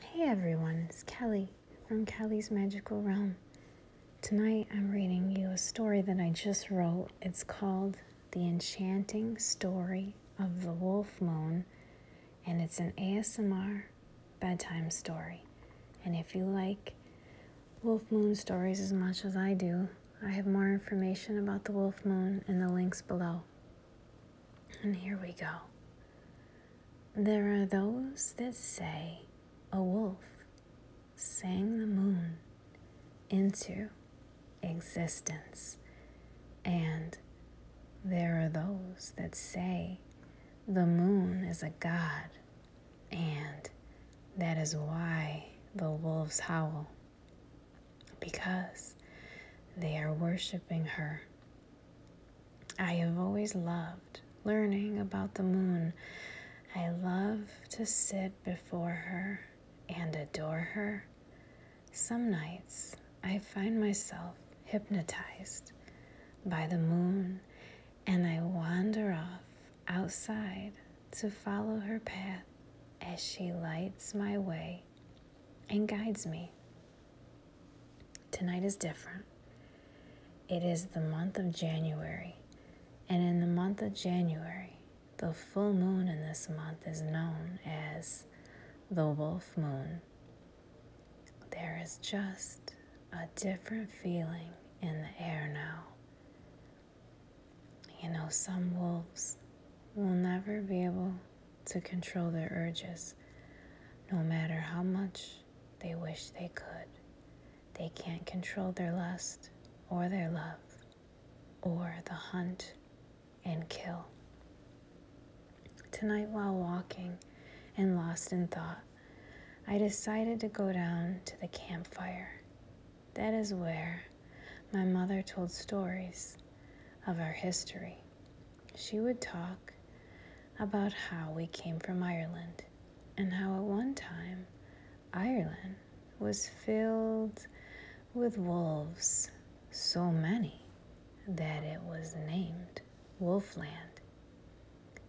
Hey everyone, it's Kelly from Kelly's Magical Realm. Tonight I'm reading you a story that I just wrote. It's called The Enchanting Story of the Wolf Moon, and it's an ASMR bedtime story. And if you like Wolf Moon stories as much as I do, I have more information about the Wolf Moon in the links below. And here we go. There are those that say a wolf sang the moon into existence. And there are those that say the moon is a god, and that is why the wolves howl, because they are worshiping her I have always loved learning about the moon. I love to sit before her and adore her. Some nights I find myself hypnotized by the moon and I wander off outside to follow her path as she lights my way and guides me. Tonight is different. It is the month of January, and in the month of January, the full moon in this month is known as the Wolf Moon. There is just a different feeling in the air now. You know, some wolves will never be able to control their urges, no matter how much they wish they could. They can't control their lust or their love or the hunt and kill. Tonight, while walking and lost in thought, I decided to go down to the campfire. That is where my mother told stories of our history she would talk about how we came from Ireland and how at one time Ireland was filled with wolves, so many that it was named Wolfland,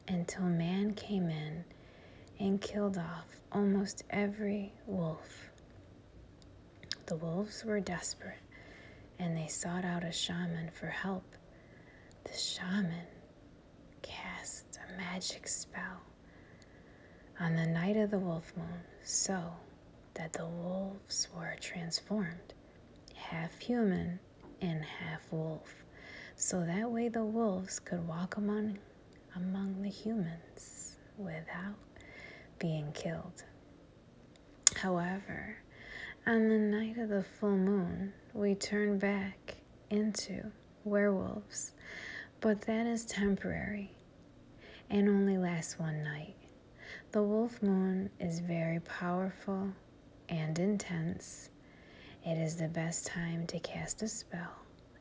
until man came in and killed off almost every wolf. The wolves were desperate and they sought out a shaman for help the shaman cast a magic spell on the night of the wolf moon so that the wolves were transformed, half human and half wolf, so that way the wolves could walk among, among the humans without being killed. However, on the night of the full moon, we turn back into werewolves, but that is temporary and only lasts one night. The wolf moon is very powerful and intense. It is the best time to cast a spell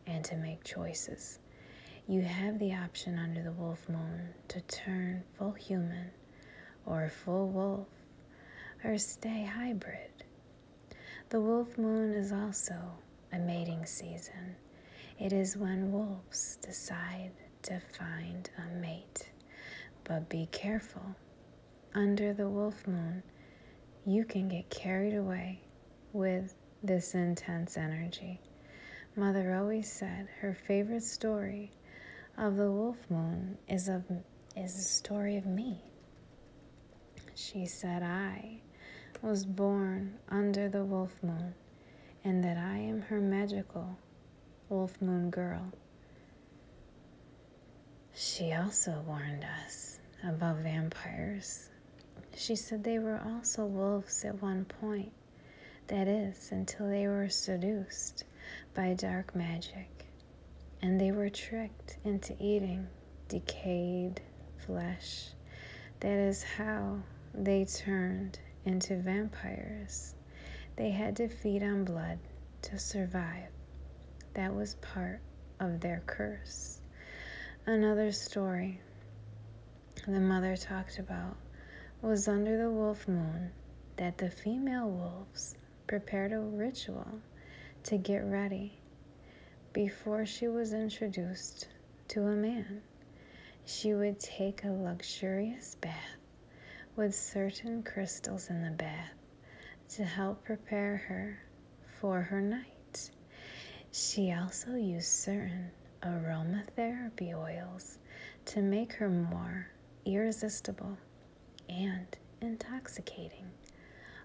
and to make choices. You have the option under the wolf moon to turn full human or full wolf, or stay hybrid. The wolf moon is also a mating season. It is when wolves decide to find a mate. But be careful. Under the wolf moon, you can get carried away with this intense energy. Mother always said her favorite story of the Wolf Moon is, a is the story of me. She said, I was born under the Wolf Moon, and that I am her magical Wolf Moon girl. She also warned us about vampires. She said they were also wolves at one point, that is, until they were seduced by dark magic, and they were tricked into eating decayed flesh. That is how they turned into vampires. They had to feed on blood to survive. That was part of their curse. Another story the mother talked about was under the wolf moon that the female wolves prepared a ritual to get ready before she was introduced to a man. She would take a luxurious bath with certain crystals in the bath to help prepare her for her night. She also used certain aromatherapy oils to make her more irresistible and intoxicating.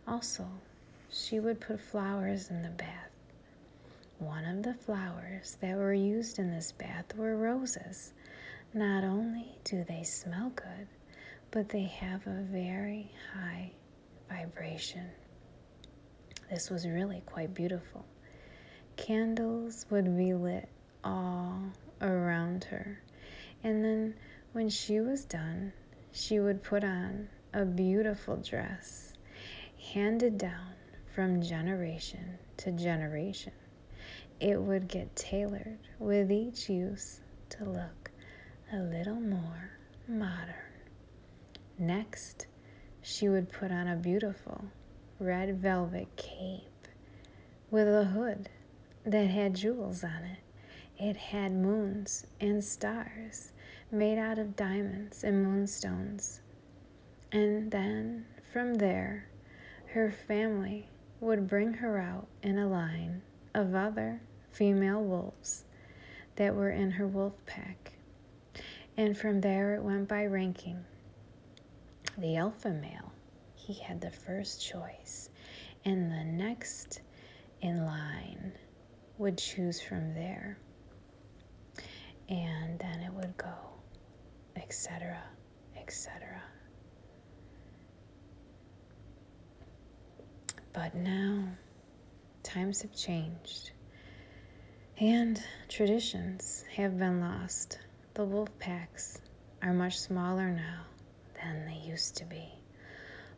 Also, she would put flowers in the bath. One of the flowers that were used in this bath were roses. Not only do they smell good, but they have a very high vibration. This was really quite beautiful. Candles would be lit all around her. And then when she was done, she would put on a beautiful dress handed down from generation to generation. It would get tailored with each use to look a little more modern. Next, she would put on a beautiful red velvet cape with a hood that had jewels on it. It had moons and stars made out of diamonds and moonstones. And then from there, her family would bring her out in a line of other female wolves that were in her wolf pack. And from there it went by ranking the alpha male he had the first choice, and the next in line would choose from there. And then it would go, etc., etc. But now, times have changed, and traditions have been lost. The wolf packs are much smaller now than they used to be.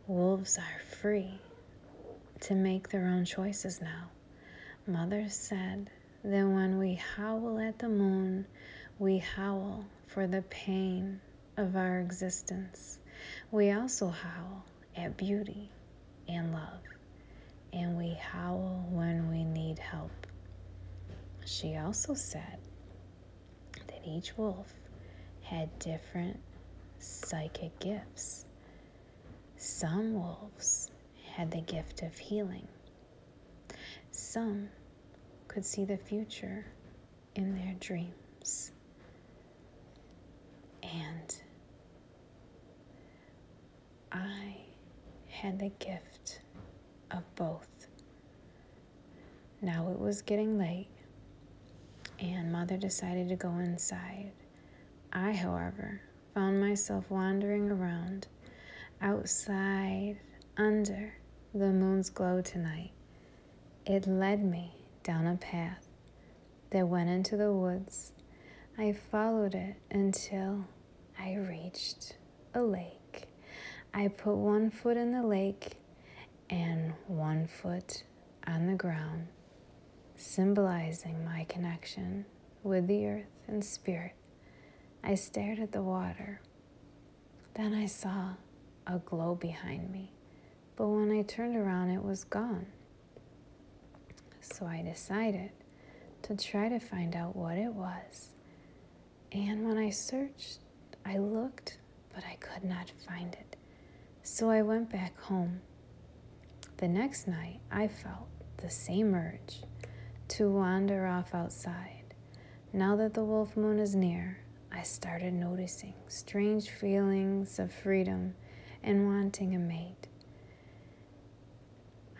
Wolves are free to make their own choices now. Mother said that when we howl at the moon, we howl for the pain of our existence. We also howl at beauty and love, and we howl when we need help. She also said that each wolf had different psychic gifts. Some wolves had the gift of healing. Some could see the future in their dreams. And I had the gift of both. Now it was getting late, and mother decided to go inside. I, however, found myself wandering around, outside, under the moon's glow tonight. It led me down a path that went into the woods. I followed it until I reached a lake. I put one foot in the lake and one foot on the ground, symbolizing my connection with the earth and spirit. I stared at the water. Then I saw a glow behind me, but when I turned around, it was gone. So I decided to try to find out what it was. And when I searched, I looked, but I could not find it. So I went back home. The next night, I felt the same urge to wander off outside. Now that the wolf moon is near, I started noticing strange feelings of freedom and wanting a mate.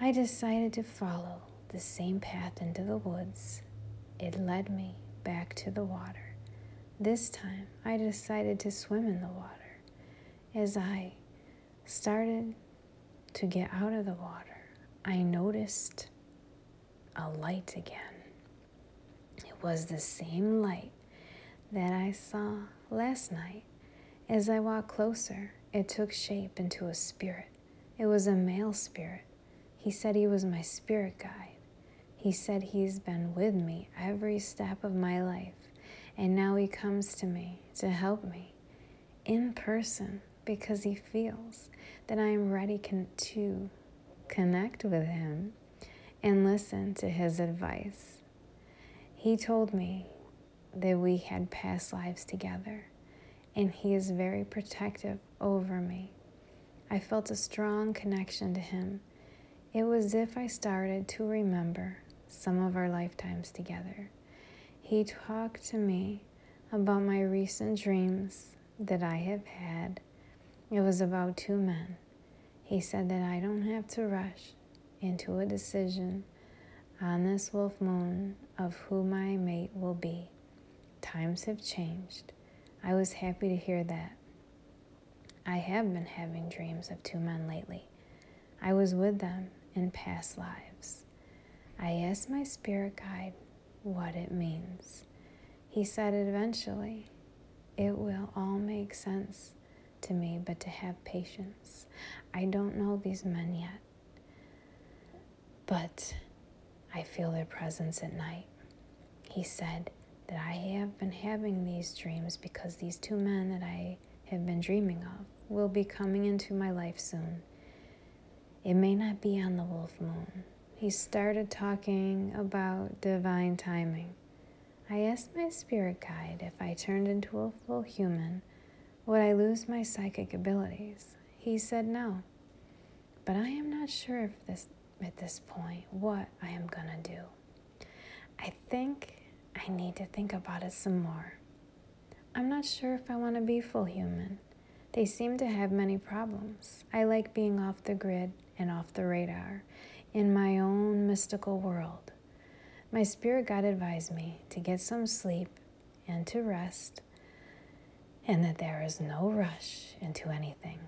I decided to follow the same path into the woods. It led me back to the water. This time I decided to swim in the water. As I started to get out of the water, I noticed a light again. It was the same light that I saw last night. As I walked closer, it took shape into a spirit. It was a male spirit he said he was my spirit guide. He said he's been with me every step of my life, and now he comes to me to help me in person because he feels that I am ready to connect with him and listen to his advice. He told me that we had past lives together, and he is very protective over me. I felt a strong connection to him. It was as if I started to remember some of our lifetimes together. He talked to me about my recent dreams that I have had. It was about two men. He said that I don't have to rush into a decision on this wolf moon of who my mate will be. Times have changed. I was happy to hear that. I have been having dreams of two men lately. I was with them in past lives. I asked my spirit guide what it means. He said eventually, it will all make sense to me, but to have patience. I don't know these men yet, but I feel their presence at night. He said, that I have been having these dreams because these two men that I have been dreaming of will be coming into my life soon. It may not be on the wolf moon. He started talking about divine timing. I asked my spirit guide if I turned into a full human, would I lose my psychic abilities? He said no. But I am not sure if this at this point what I am gonna do. I think I need to think about it some more. I'm not sure if I want to be full human. They seem to have many problems. I like being off the grid and off the radar in my own mystical world. My spirit guide advised me to get some sleep and to rest, and that there is no rush into anything.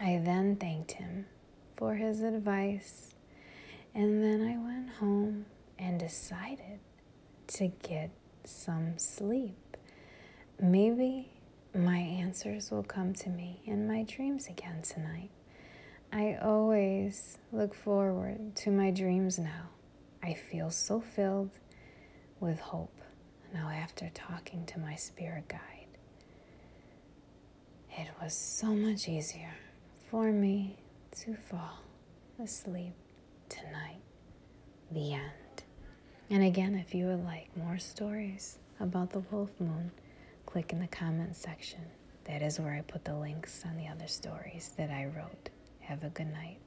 I then thanked him for his advice, and then I went home and decided to get some sleep. Maybe my answers will come to me in my dreams again tonight. I always look forward to my dreams now. I feel so filled with hope now, after talking to my spirit guide, it was so much easier for me to fall asleep tonight. The end. And again, if you would like more stories about the wolf moon, click in the comment section. That is where I put the links on the other stories that I wrote. Have a good night.